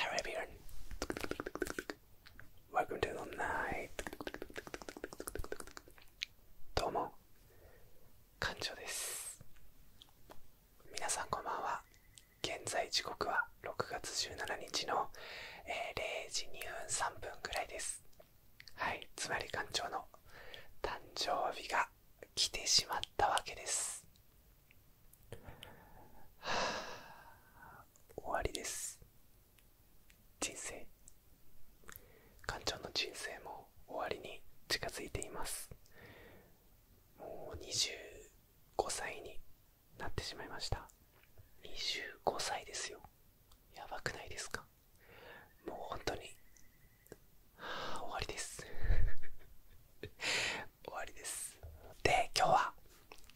Hello e y o n e Welcome to t night. どうも、館長です。皆さんこんばんは。現在時刻は6月17日の、えー、0時2分3分ぐらいです。はい、つまり館長の誕生日が来てしまったわけです。終わりです人生館長の人生も終わりに近づいていますもう25歳になってしまいました25歳ですよやばくないですかもう本当に、はあ、終わりです終わりですで今日は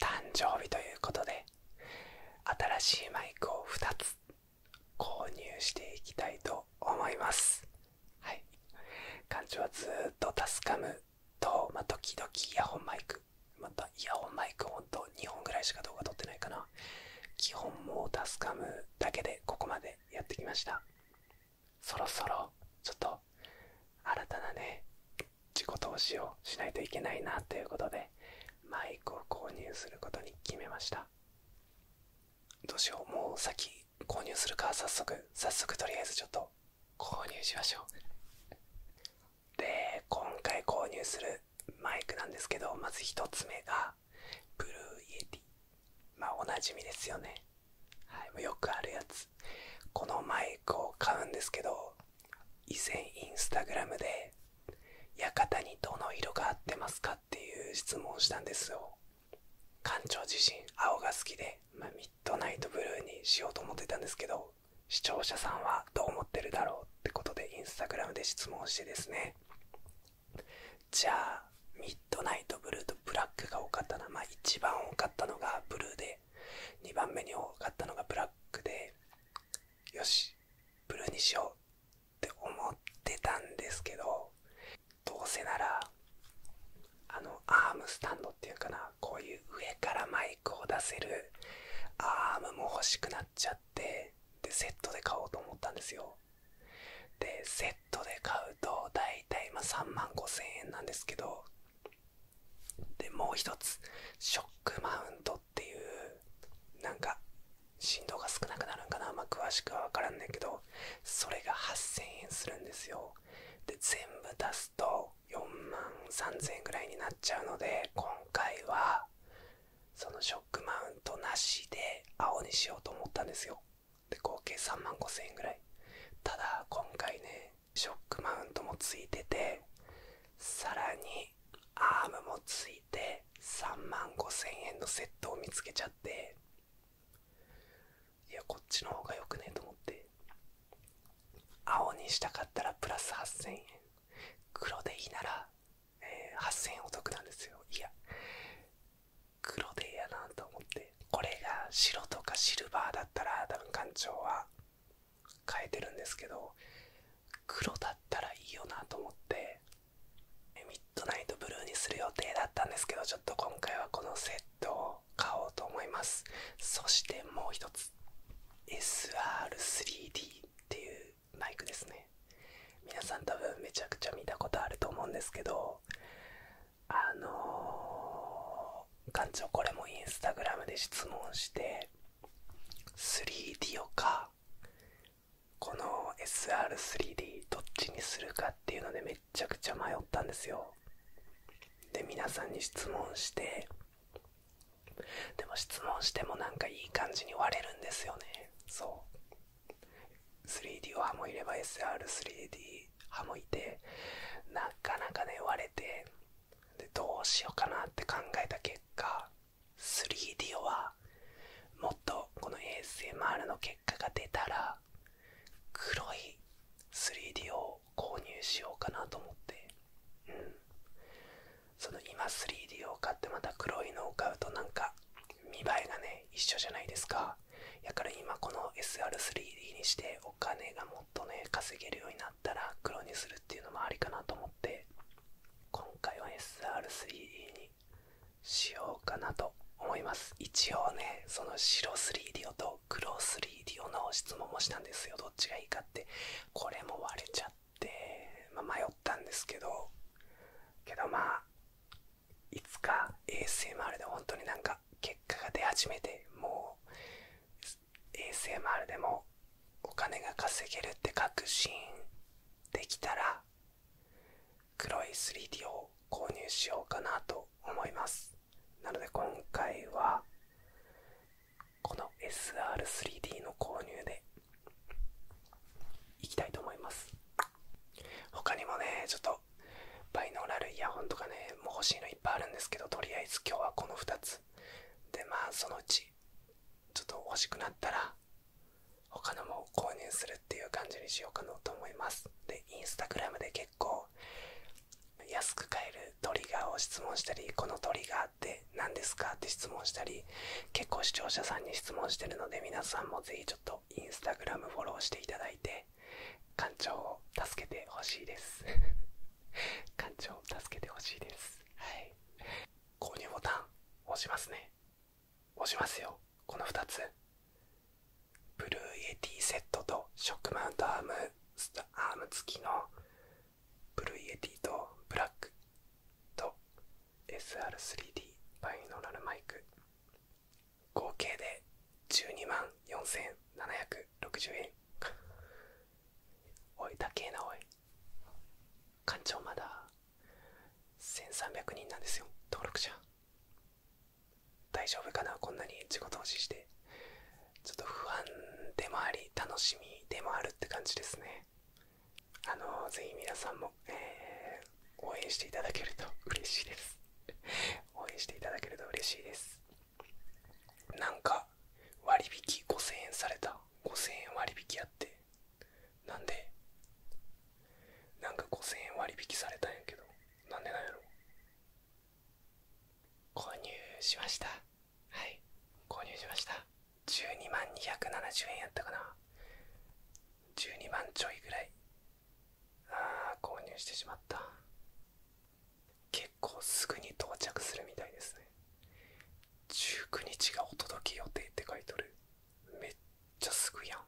誕生日ということで新しいマイクを2つ購入していきたいと思いますはい館長はずっと助かると、まあ、時々イヤホンマイクまたイヤホンマイクほんと2本ぐらいしか動画撮ってないかな基本もう助かるだけでここまでやってきましたそろそろちょっと新たなね自己投資をしないといけないなということでマイクを購入することに決めましたどうしようもう先購入するか早速早速とりあえずちょっと購入しましょうで今回購入するマイクなんですけどまず1つ目がブルーイエティまおなじみですよね、はい、もうよくあるやつこのマイクを買うんですけど以前インスタグラムで「館にどの色が合ってますか?」っていう質問をしたんですよ館長自身青が好きで、まミッドナイトブルーにしようと思ってたんですけど視聴者さんはどう思ってるだろうってことでインスタグラムで質問してですねじゃあミッドナイトブルーとブラックが多かったなまあ一番多かったのがブルーで2番目に多かったのがブラックでよしブルーにしようって思ってたんですけどどうせならあのアームスタンドっていうかなこういう上からマイクを出せるアームも欲しくなっちゃってでセットで買おうと思ったんですよでセッットで買うと大体ま3万5000円なんですけどでもう一つショックマウントっていうなんか振動が少なくなるんかな、ま詳しくは分からんねんけどそれが8000円するんですよで全部出すと4万3 0円ぐらいになっちゃうので今回はそのショックマウントなしで青にしようと思ったんですよで合計3万5000円ぐらいただ今回ねショックマウントもついててさらにアームもついて3万5000円のセットを見つけちゃっていやこっちの方が良くねえと思って青にしたかったらプラス8000円黒でいいなら、え8000円お得なんですよいや黒でええやなと思ってこれが白とかシルバーだったら多分館長は変えてるんですけど黒だったらいいよなと思ってミッドナイトブルーにする予定だったんですけどちょっと今回はこのセットを買おうと思いますそしてもう一つ SR3D っていうマイクですね皆さん多分めちゃくちゃ見たことあると思うんですけどあの館長これもインスタグラムで質問して 3D をかこの SR3D どっちにするかっていうのでめちゃくちゃ迷ったんですよで皆さんに質問してでも質問してもなんかいい感じに割れるんですよねそう 3D 派もいれば SR3D 派もいてなかなかね割れてでどうしようかなって考えた結果 3D はもっとこの ASMR の結果が出たら黒い 3D を購入しようかなと思ってうんその今 3D を買ってまた黒いのを買うとなんか見栄えがね一緒じゃないですかやから今この SR3D にしてお金がもっとね稼げるようになったら黒にするっていうのもありかなと思って今回は SR3D にしようかなと思います一応ねその白 3D と黒 3D の質問もしたんですよどっちがいいかってこれも割れちゃって、ま迷ったんですけどけどまあいつか ASMR で本当になんか結果が出始めてもう ASMR でもお金が稼げるって確信できたら黒い 3D を購入しようかなと思いますなので今回はこの SR3D の購入でいきたいと思います他にもねちょっとバイノーラルイヤホンとかねもう欲しいのいっぱいあるんですけどとりあえず今日はこの2つでまあそのうちちょっと欲しくなったら他のも購入するっていう感じにしようかなと思いますでインスタグラムで結構安く買えるトリガーを質問したりこのトリガーって何ですかって質問したり結構視聴者さんに質問してるので皆さんもぜひちょっとインスタグラムフォローしていただいて館長を助けてほしいです館長 を助けてほしいですはい購入ボタン押しますね押しますよこの2つブルーイエティセットとショックマウントアームアーム付きのブルーイエティとブラックと SR3D バイノーラルマイク合計で12万4760円おい高えなおい館長まだ1300人なんですよ登録者大丈夫かなこんなに自己投資してちょっと不安でもあり楽しみでもあるって感じですねあのー、ぜひ皆さんも、え応援していただけると嬉しいです 応援していただけると嬉しいですなんか割引5000円された5000円割引やってなんでなんか5000円割引されたんやけどなんでなんやろ購入しましたはい購入しました12万270円やったかな12万ちょいぐらいああ購入してしまった結構すぐに到着するみたいですね19日がお届け予定って書いとるめっちゃすぐやん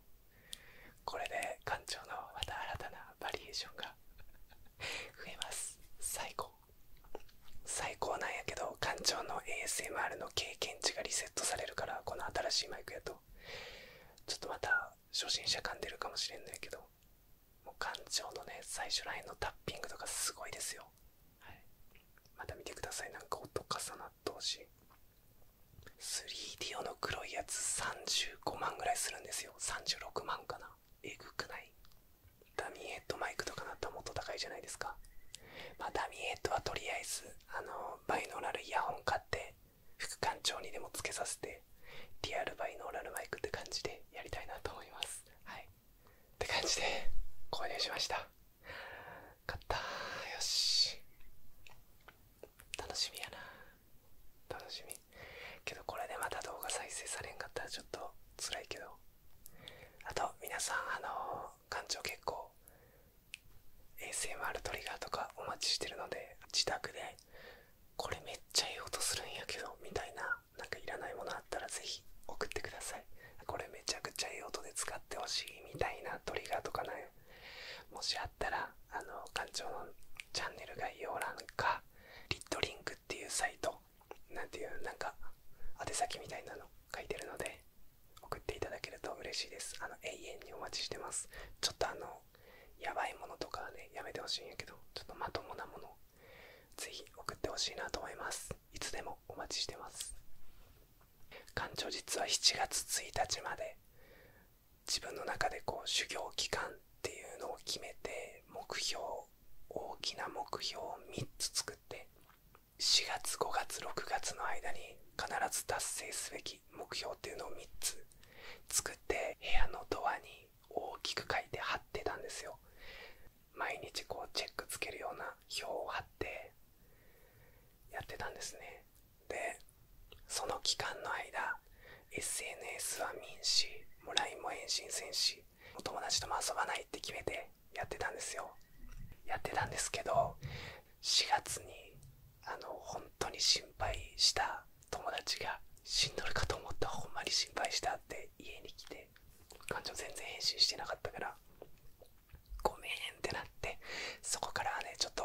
これで館長のまた新たなバリエーションが増えます最高最高なんやけど館長の ASMR の経験値がリセットされるからこの新しいマイクやとちょっとまた初心者んでるかもしれないけどもう館長のね最初らへんのタッピングとかすごいですよ、また見てくださいなんか音重なってほしい 3DO の黒いやつ35万ぐらいするんですよ36万かなえぐくないダミーヘッドマイクとかなったらもっと高いじゃないですか。まダミーヘッドはとりあえず、あの、バイノーラルイヤホン買って、副館長にでもつけさせて、リアルバイノーラルマイクって感じでやりたいなと思います。はい。って感じで、購入しました。買った。よし。楽しみやな。楽しみ。けどこれでまた動画再生されんかったらちょっと辛いけど。あと皆さんあの感じ結構 ASMR トリガーとかお待ちしてるので自宅でこれめっちゃいい音するんやけどみたいななんかいらないものあったらぜひ送ってくださいこれめちゃくちゃいい音で使ってほしいみたいなトリガーとかねもしあったらあの館長のチャンネル概要欄かリッドリンクっていうサイト何ていうなんか宛先みたいなの書いてるので送っていただけると嬉しいですあの永遠にお待ちしてますちょっとあのやばいものとかねやめてほしいんやけどちょっとまともなものぜひ送ってほしいなと思いますいつでもお待ちしてます館長実は7月1日まで自分の中でこう修行期間っていうのを決めて目標大きな目標を3つ作って4月5月6月の間に必ず達成すべき目標っていうのを3つ作って部屋のドアに大きく書いて貼ってたんですよ毎日こうチェックつけるような表を貼ってやってたんですねでその期間の間 SNS は民主も LINE も伸心戦士お友達とも遊ばないって決めてやってたんですよやってたんですけど4月にあの本当に心配した友達が死んどるかと思ったほんまに心配したって家に来て感情全然返信してなかったからごめんってなってそこからはねちょっと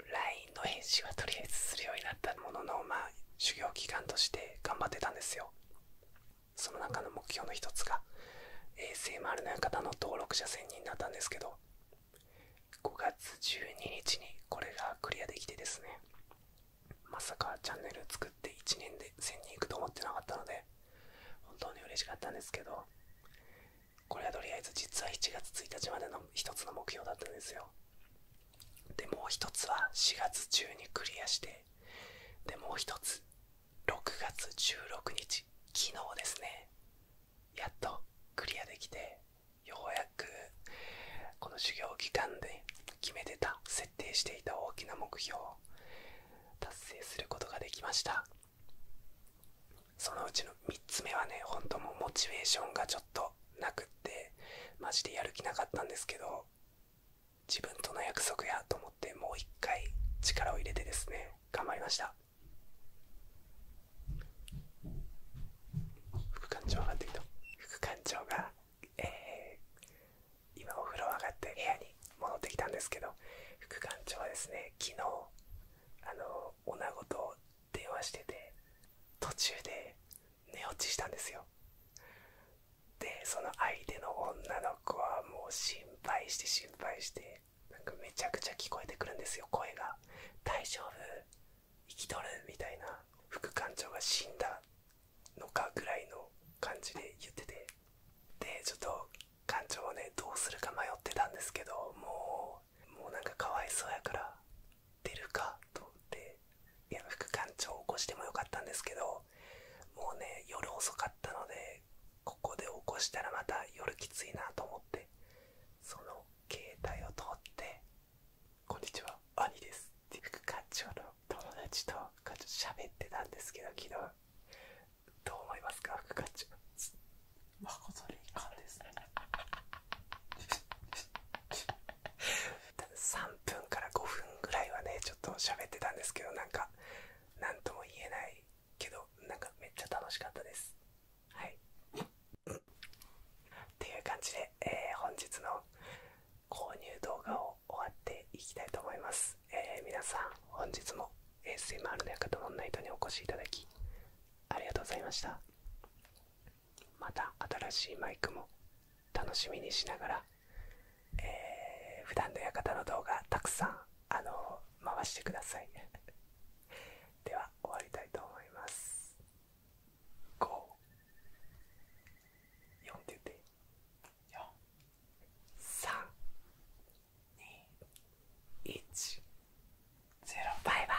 LINE の返信はとりあえずするようになったもののまあ修行期間として頑張ってたんですよその中の目標の一つが a s 丸の館の登録者1000人だったんですけど5月12日にこれがクリアできてですねまさかチャンネル作って1年で1000人いくと思ってなかったので本当に嬉しかったんですけどこれはとりあえず実は1月1日までの一つの目標だったんですよでもう一つは4月中にクリアしてでもう一つ6月16日昨日ですねやっとクリアできてようやくこの修行期間で決めてた設定していた大きな目標達成することができましたそのうちの3つ目はね本当もうモチベーションがちょっとなくってマジでやる気なかったんですけど自分との約束やと思ってもう一回力を入れてですね頑張りました副館長上がってきた副館長が、え今お風呂上がって部屋に戻ってきたんですけど副館長はですね昨日あの女子と電話してて途中で寝落ちしたんですよでその相手の女の子はもう心配して心配してなんかめちゃくちゃ聞こえてくるんですよ声が「大丈夫生きとる?」みたいな副館長が死んだのかぐらいの感じで言っててでちょっと館長もねどうするか迷ってたんですけどもうもうなんかかわいそうやからっるかと思っていや副館長を起こしてもよかったんですけどもうね夜遅かったのでここで起こしたらまた夜きついなと思ってその携帯を通って「こんにちは兄です」って副館長の友達と課長喋ってたんですけど昨日どう思いますか副館長誠に遺憾ですね3分から5分ぐらいはねちょっと喋ってたんですけどなんか何とも言えないけどなんかめっちゃ楽しかったですはいっていう感じで、え本日の購入動画を終わっていきたいと思います、え皆さん本日も ASMR の館ンナイトにお越しいただきありがとうございましたまた新しいマイクも楽しみにしながら、えー、普段の館の動画たくさんあの回してください では終わりたいと思います5 4って言って4 3 2 1 0バイバイ